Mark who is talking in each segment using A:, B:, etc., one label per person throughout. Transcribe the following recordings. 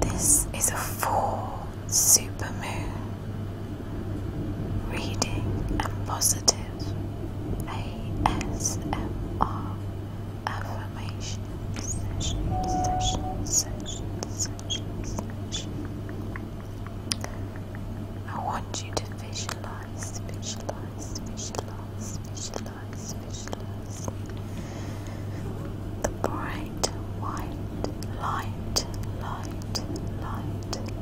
A: This is a full supermoon. Reading and positive ASMR affirmation I want you to visualize fishhooks, fishless. The bright white light, light, light, light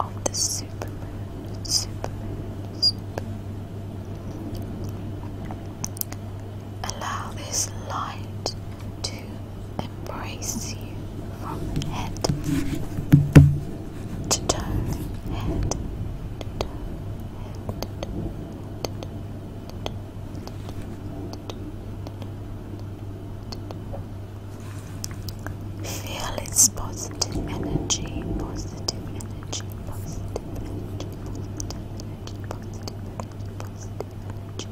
A: of the supermoon, supermoon, supermoon. Allow this light to embrace you from head head to toe, head to toe, head to toe. Feel its positive energy, positive energy, positive energy, positive energy, positive energy, positive energy.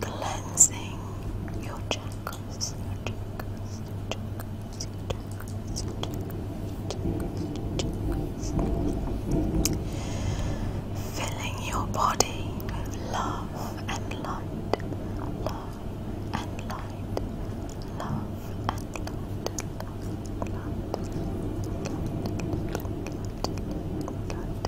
A: Cleansing your chakras, Filling your body with love and light, love and light, love and light, love, light, light, light, light, light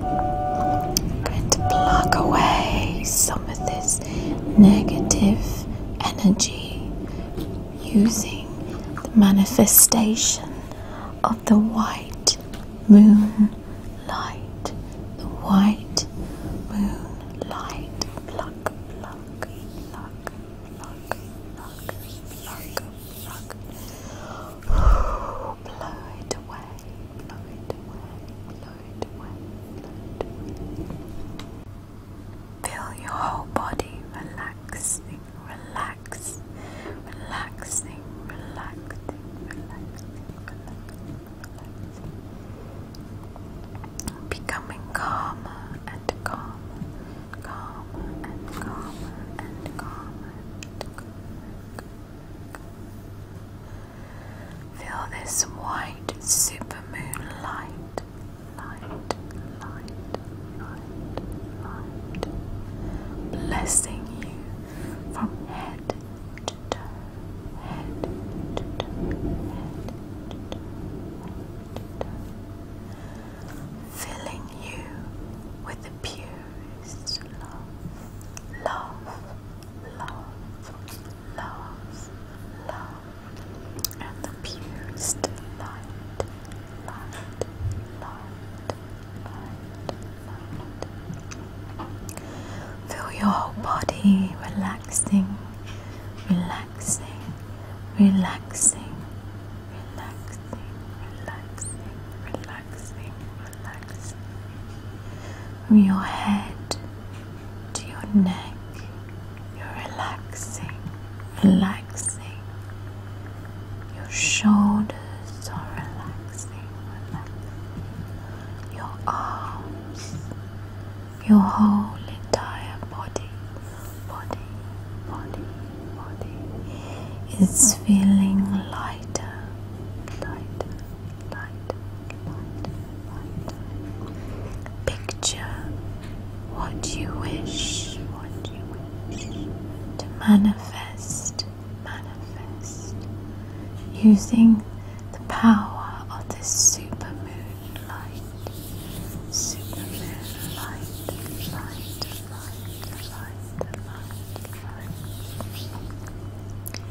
A: and pluck away some of this negative energy using the manifestation of the white moon light. The white moon light. Pluck, blow it away, blow it away, blow it away, blow it away. Feel your whole body relaxing, relax, relaxing, relaxing, relaxing, relaxing, relaxing. Becoming calmer and calmer, calmer and calmer and calmer. And calmer. Feel this white supermoon light, light, light, light, light, blessing you from head to toe, head to toe, head to toe, head to toe, filling you with the purest love, love love, love, love, and the light, light, light, light, light. Feel your whole body relaxing, relaxing, relaxing. Relaxing, relaxing, relaxing, relax from your head to your neck. You're relaxing, relaxing. Your shoulders are relaxing, relaxing. Your arms, your whole entire body, body, body, body It's feeling lighter, lighter, Picture what you wish, to manifest, using the power of this super moon light.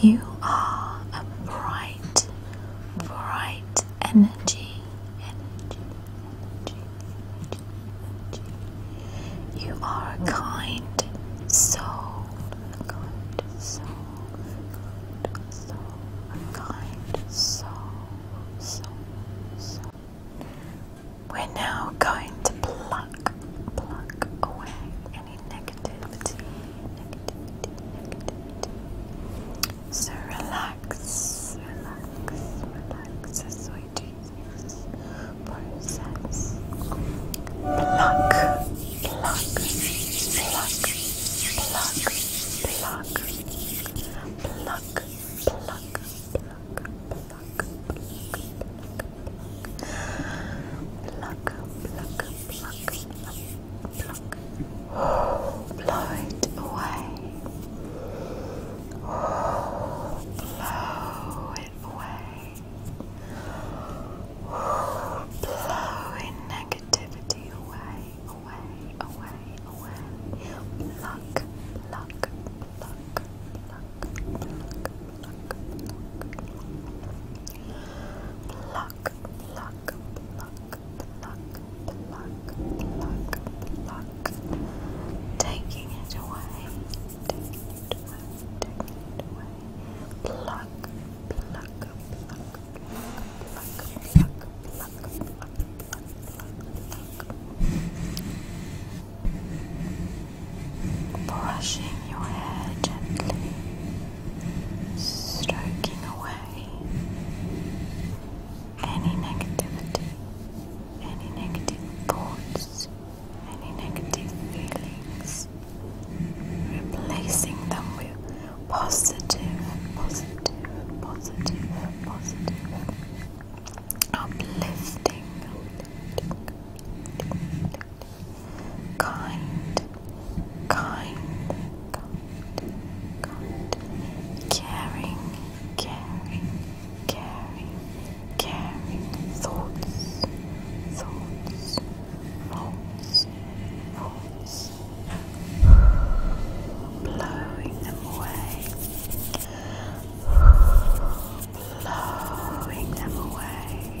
A: You are a bright, bright energy. You are a kind soul. We're now going to pluck, pluck away any negativity, So relax, relax, relax as we do this process. Pluck, pluck, pluck, pluck, pluck, pluck, pluck, pluck, pluck, pluck, pluck, pluck, pluck. Blow it away. Blow it away. Blow in negativity away, away, away, away. Pluck, pluck, pluck, pluck, pluck pluck, pluck, pluck, pluck, pluck, pluck, pluck, taking it away, taking it away, taking it away, pluck, pluck, pluck, pluck, pluck, pluck, pluck, pluck, pluck, pluck, pluck brushing your hair gently, stroking away any negativity, any negative thoughts, any negative feelings, replacing them with positive, positive, positive, positive, uplifting kind, kind, kind, kind, caring, caring, caring, caring thoughts, thoughts, thoughts, thoughts, blowing them away, blowing them away.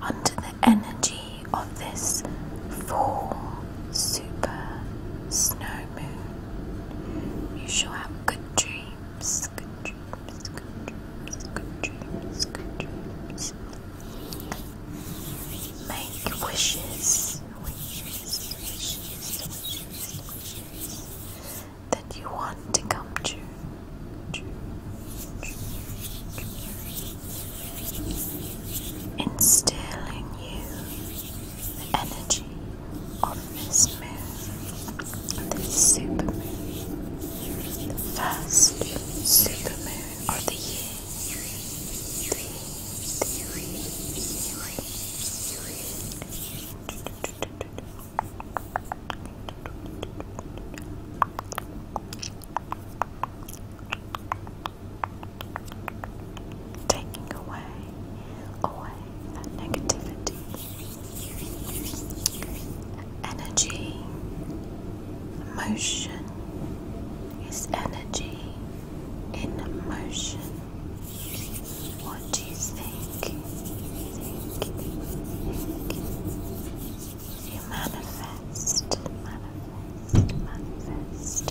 A: Under the energy of this full super snow moon, you shall have good dreams, good dreams, good dreams, good dreams, good dreams. Make wishes, wishes that you want to come to. Instill you the energy of this moon, this supermoon, the first supermoon of the year. Taking away, away that negativity, energy, emotion is energy in motion. What do you think? Think, think. You manifest, manifest, manifest.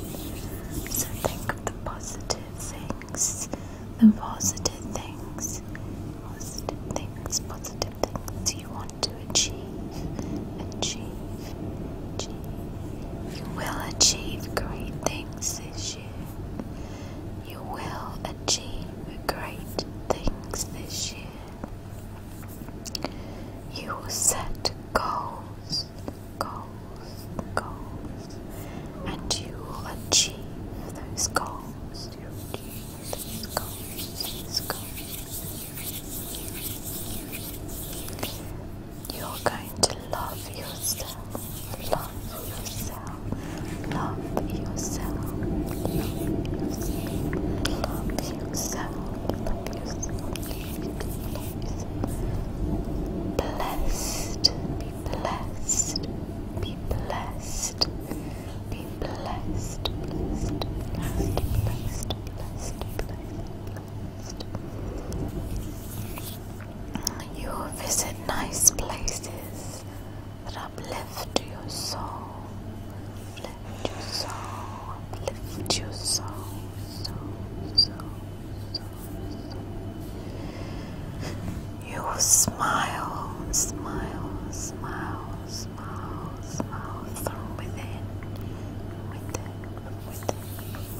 A: So think of the positive things, the positive things, positive things, positive things you want to achieve, achieve. You will achieve great things this year. You will achieve great things this year. You will set goals, goals, goals, and you will achieve those goals. You achieve those goals. You're going to love yourself, love yourself, love yourself, love yourself, love yourself, love yourself. Blessed, blessed, be blessed, be blessed, blessed, blessed, blessed, blessed. You visit nice places that uplift your soul, uplift your soul, uplift your soul, so, so, so, You smile, smile, smile, smile, smile from within, within, within.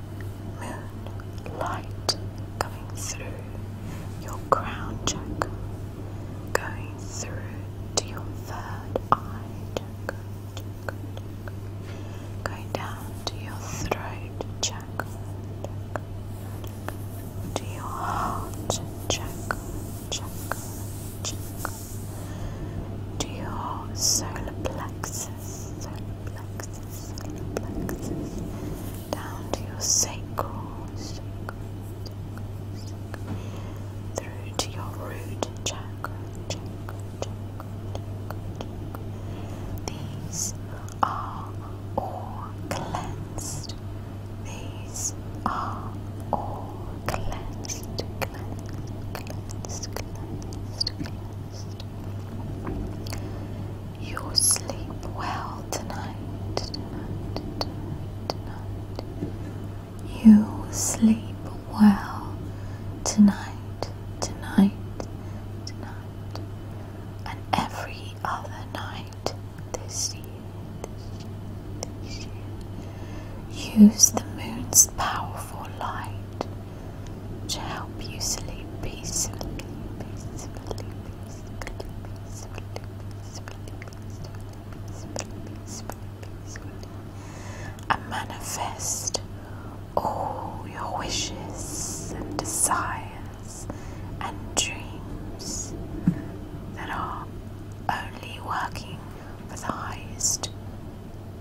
A: moon light coming through your crown chakra, going through to your third eye chakra, going down to your throat chakra, to your heart chakra, to your solar plexus down to your sacral, through to your root chakra, These are all cleansed. These are all cleansed, cleansed, cleansed, cleansed. You'll sleep well tonight, You'll sleep well tonight, tonight, tonight, and every other night this year. Use the moon's powerful light to help you sleep peacefully, and manifest all your wishes and desires and dreams that are only working for the highest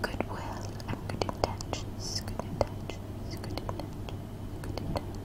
A: goodwill and good intentions. Good intentions. Good intentions. Good intentions.